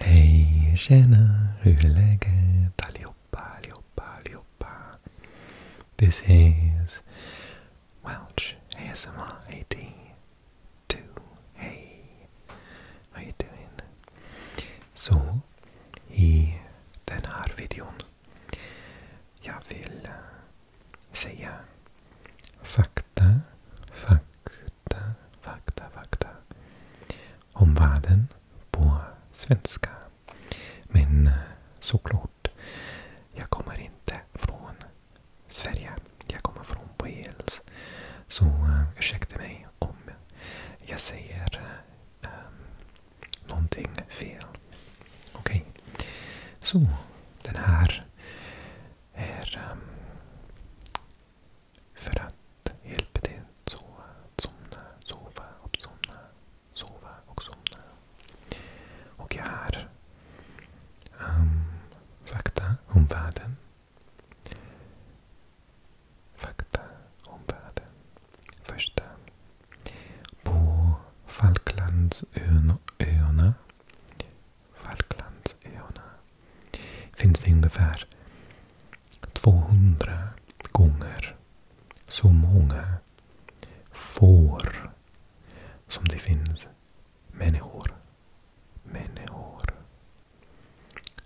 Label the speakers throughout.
Speaker 1: Hej, tjena, hur är läget allihopa, allihopa, allihopa? This is Welch ASMR 82. Hey, how you doing? Så, i den här videon jag vill eh, säga fakta, fakta fakta, fakta, fakta om världen på svenska. Men eh, såklart, jag kommer inte från Sverige. Jag kommer från Wales. Så eh, ursäkta mig om jag säger um, någonting fel. Okej. Okay. Så, den här är um, för att hjälpa till att sova, sova somna, sova och somna. Och jag har ehm, fakta om världen. Fakta om världen. Första. På Falklandsöarna Falklandsöarna finns det ungefär 200 gånger så många får som det finns människor. Människor.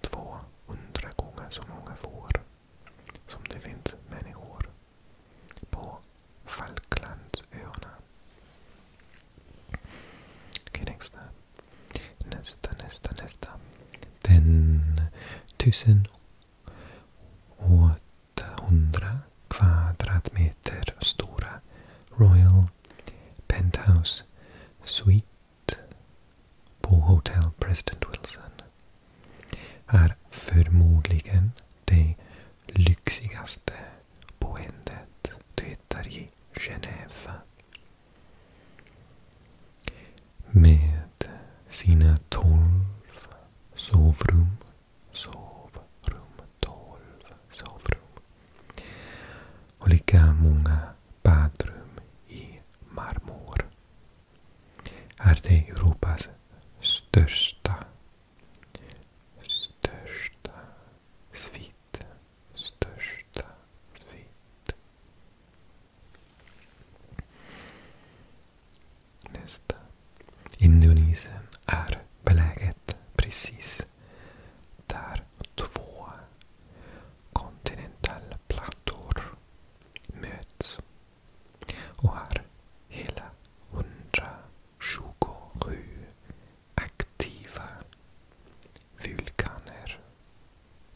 Speaker 1: 200 gånger så många får som det finns människor på Falklandsöarna. Okej, nästa. Nästa, nästa, nästa. Den tusen åttahundra kvadratmeter stora Royal Penthouse Suite på Hotel President Wilson är förmodligen det lyxigaste boendet du hittar i Genève. Med sina tolv sovrum, sovrum, tolv sovrum och lika många badrum i marmor är det Europas största största svit mitt största svit. Nästa. Indonesien är beläget precis där två kontinentalplattor möts och är hela 127 aktiva vulkaner.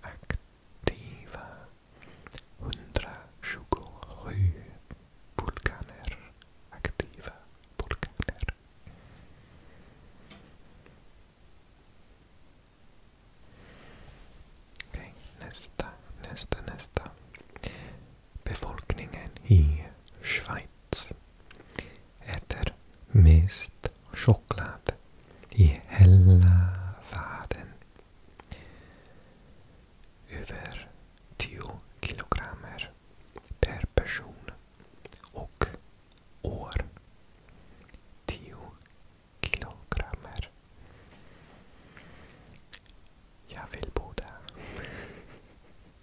Speaker 1: Aktiva 127 vulkaner. Aktiva vulkaner. Okej, nästa, nästa, nästa. Befolkningen i Schweiz äter mest choklad i hela världen. Över 10 kilogrammer per person och år. 10 kilogrammer. Jag vill bo där.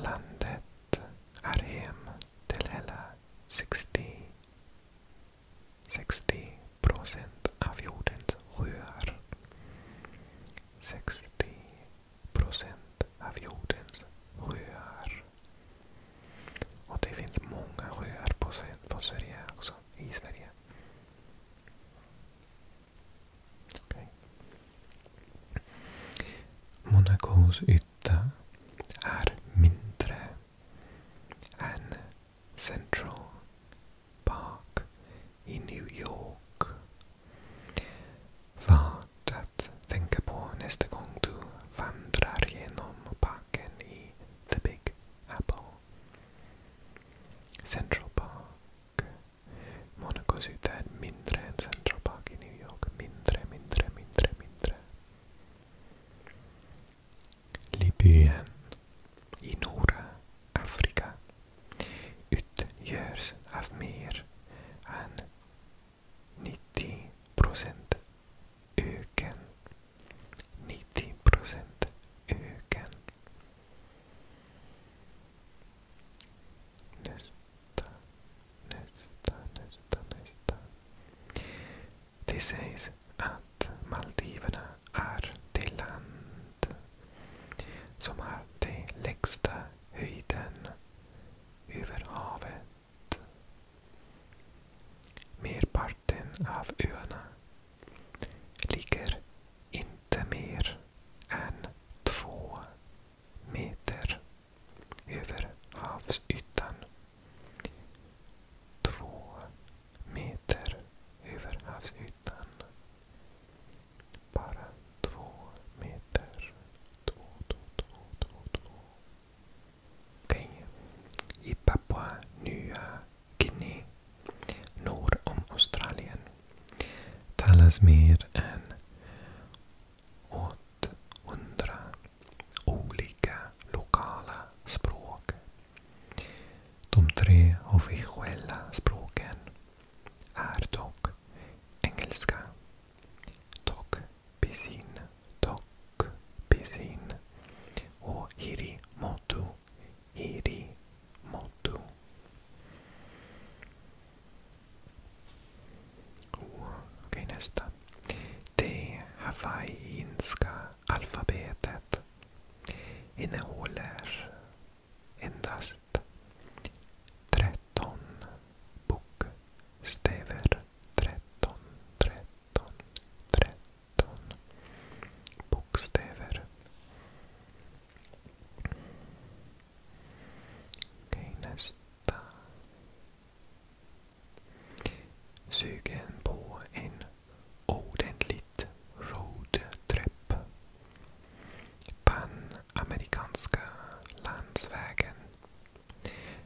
Speaker 1: Landet är hem till hela 60, 60 procent av jordens sjöar. 60 procent av jordens sjöar. Och det finns många sjöar på, på Sverige också, i Sverige. Okay. Monacos yta är mindre än Central Park i New York. Vad att tänka på nästa gång du vandrar genom parken i The Big Apple. Central Park. Monaco City är mindre än Central Park i New York. Mindre, mindre, mindre, mindre. Libyen i norra Afrika utgörs av mer än 90 procent öken. 90 procent öken. Nästa, nästa, nästa, nästa. Det sägs att Maldiverna är det land som har den lägsta höjden över havet. Merparten av öarna ligger inte mer än två meter över havsytan. Två meter över havsytan. Bara två meter. Två, två, två, två, två. Guinea norr om Australien talas mer än 800 olika lokala språk. De tre officiella språken är dock engelska, tok, pisin, tok, pisin och hiri motu Hiri, Oh, Okej, nästa. Det hawaiinska alfabetet innehåller endast 13 bokstäver. 13, 13, 13 bokstäver. Okej, nästa. Sugen på en ordentligt roadtrip. Panamerikanska landsvägen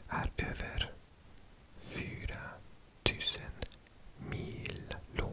Speaker 1: är över 4000 mil lång.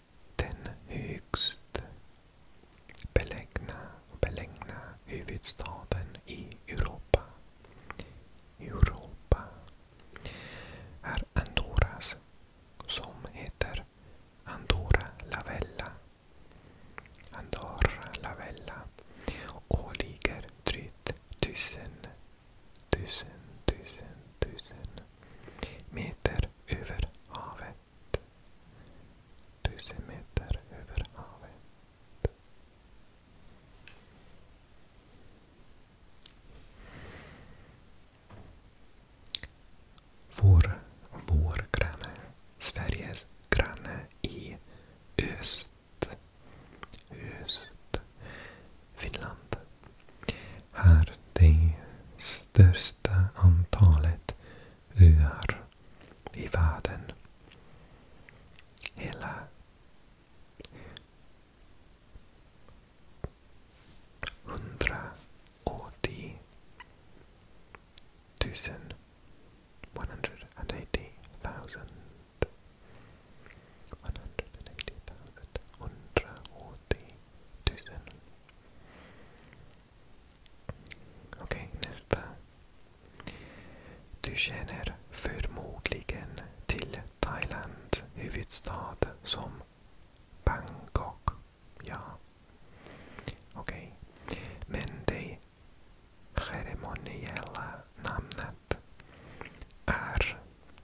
Speaker 1: den högst belägna, belägna huvudstaden i Europa. Europa är Andorras som heter Andorra la Vella. Andorra la Vella och ligger drygt tusen, tusen, tusen, tusen meter över havet. Tusen meter över havet. Vår, granne, Sveriges granne i öst Finland här det största antalet öar i världen. Hela hundraåttio tusen 180,000 180,000 180,000 Okej, okay, nästa. Du känner förmodligen till Thailands huvudstad som Bangkok. Ja. Okej. Okay. Men det ceremoniella namnet är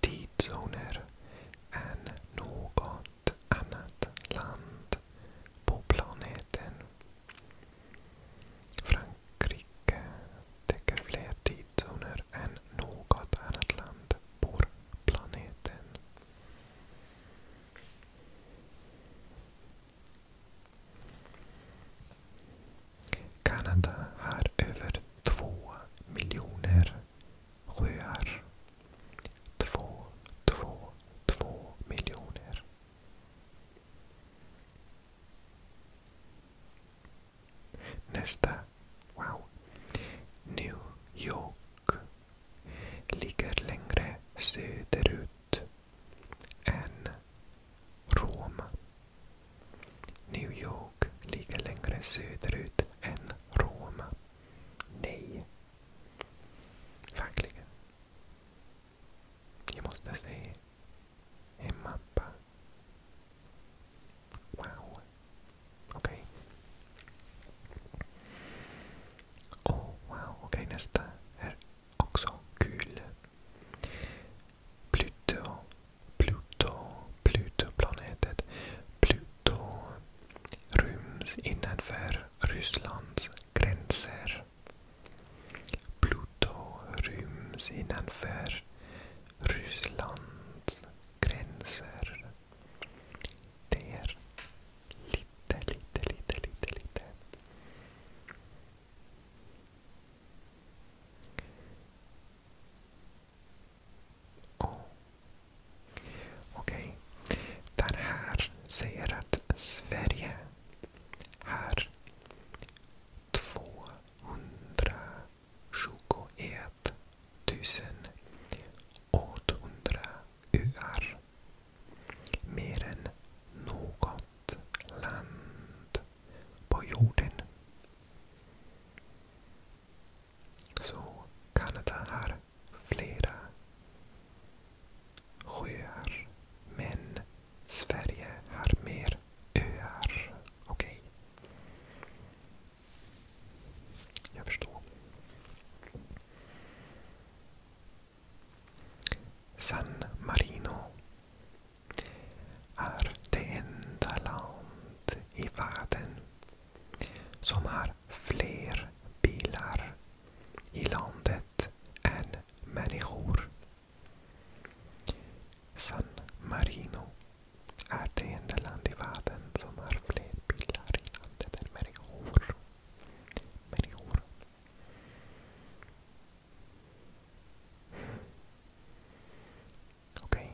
Speaker 1: tidszoner än något annat land på planeten. Frankrike täcker fler tidszoner än något annat land på planeten. Kanada har över två miljoner sjöar. Två, två, två miljoner. Nästa. Wow. New York ligger längre söderut än Rom. New York och ligger längre söderut än Roma. Nej. Verkligen. Jag måste se en mappa. Wow. Okej. Okay. Oh, wow. Okej, okay, nästa är också kul. Pluto Pluto, Plutoplanetet Pluto ryms innanför Rysslands gränser. Pluto ryms innanför Rysslands gränser. Det är lite, lite, lite, lite, lite. Oh. Okej. Okay. Den här säger att Sverige har 221 800 öar. Mer än något land på jorden. Så Kanada har flera sjöar. Men Sverige har mer öar. Okej. Okay. Jag förstår. San Marino är det enda land i världen som har fler bilar i landet än människor. San Marino är det enda land i världen som har fler bilar i landet än människor. människor. Okej.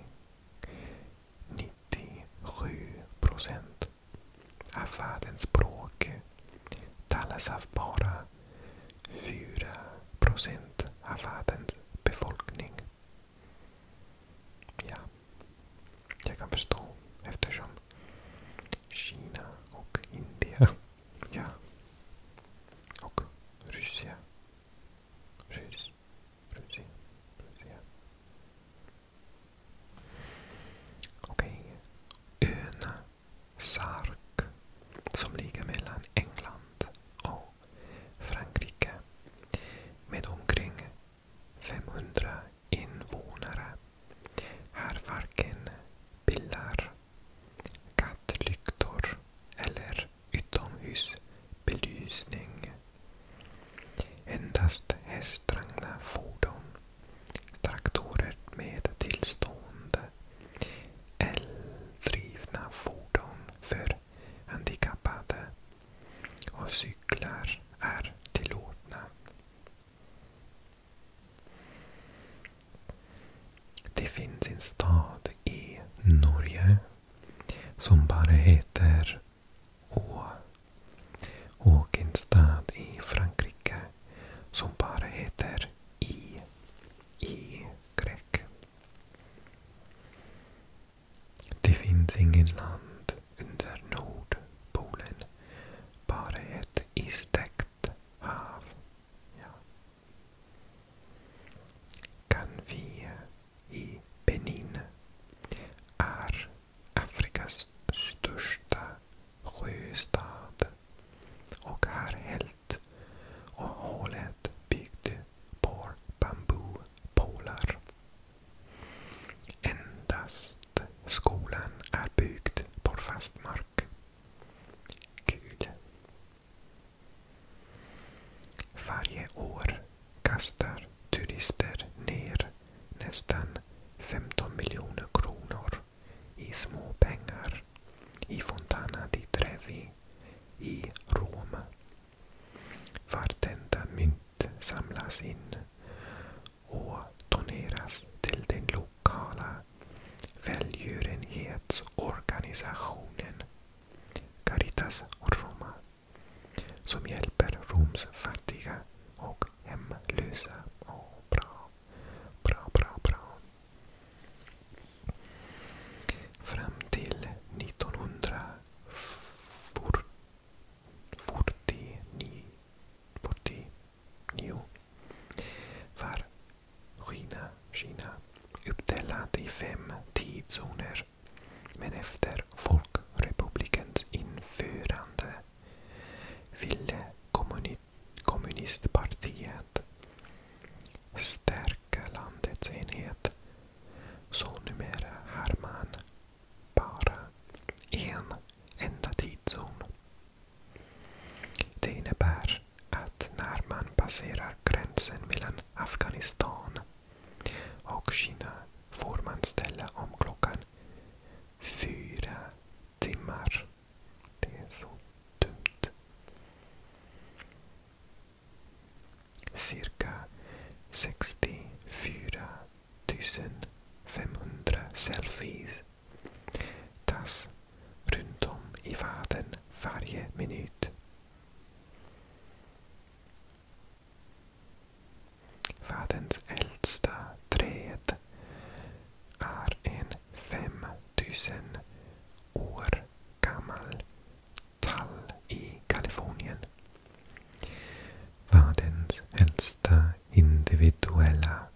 Speaker 1: 97 procent av världens språk talas av bara 4 procent av världens befolkning. Ja, jag kan förstå eftersom Kina och Indien ja, och Ryssland, Ryss, Rusia. Okej. Ön Sark som ligger mellan England och Frankrike med omkring 500 invånare. Här varken bilar, kattlyktor eller utomhusbelysning. Endast hästdragna fordon, traktorer med tillstående, eldrivna fordon för handikappade och cyklar är tillåtna. Det finns en stad i Norge som bara heter Å. Och en stad i Frankrike som bara heter I. I grek. Det finns ingen land under Nordpolen. Bara ett istäckt hav i Benin är Afrikas största sjöstad och är helt och hållet byggd på bambupålar. Endast skolan är byggd på fast mark. Kul! Varje år kastar turister ner nästan 15 miljoner kronor i småpengar i Fontana di Trevi i Rom. Vartenda mynt samlas in och doneras till den lokala välgörenhetsorganisationen Caritas och Roma som hjälper Roms fattiga och hemlösa. Oh, bra, bra, bra, bra. Fram till 1949 var Kina, Kina uppdelat i fem tidszoner men efter Folkrepublikens införande ville kommuni kommunistpartiet stärka landets enhet. Så numera har man bara en enda tidszon. Det innebär att när man passerar gränsen mellan Afghanistan och Kina får man ställa om klockan fyra timmar. Det är så dumt. Cirka 64 500 selfies tas runt om i världen varje minut. Världens äldsta träd är en 5000 år gammal tall i Kalifornien. Världens äldsta individuella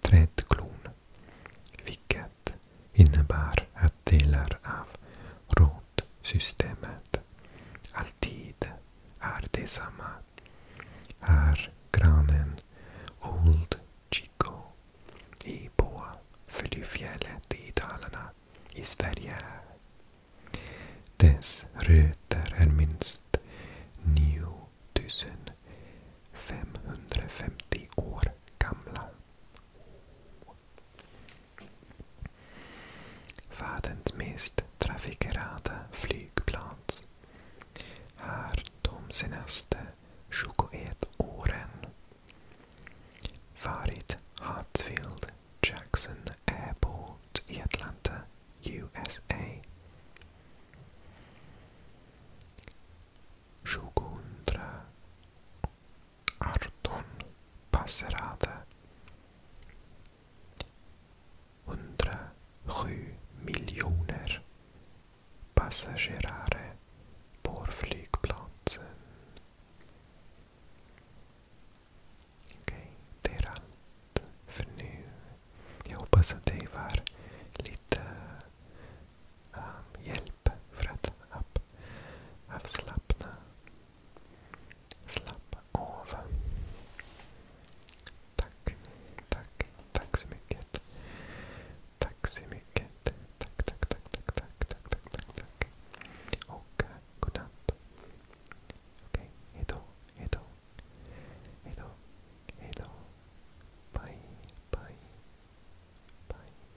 Speaker 1: trädklon fick det innebär att delar av rotsystemet alltid är detsamma. Här, granen Old Chico i Boa Flyfjället i Dalarna i Sverige. Dess rötter är minst 9550 år gamla. Världens mest trafikerade flygplats. Här de senaste 21 åren. Varit Hartsfield Jackson Airport i Atlanta, USA. 2000 18 passerade. 107 miljoner passagerare på flygplatsen. Okej, det är allt för nu. Jag hoppas att det var lite Ehm, hjälp för att ab, avslappna. Slappa av. Tack, tack, tack så mycket. Tack så mycket. Tack, tack, tack, tack, tack, tack, tack, tack, tack. Och eh, godnatt. Okej, hejdå, hejdå. Hejdå, hejdå. Bye, bye, bye,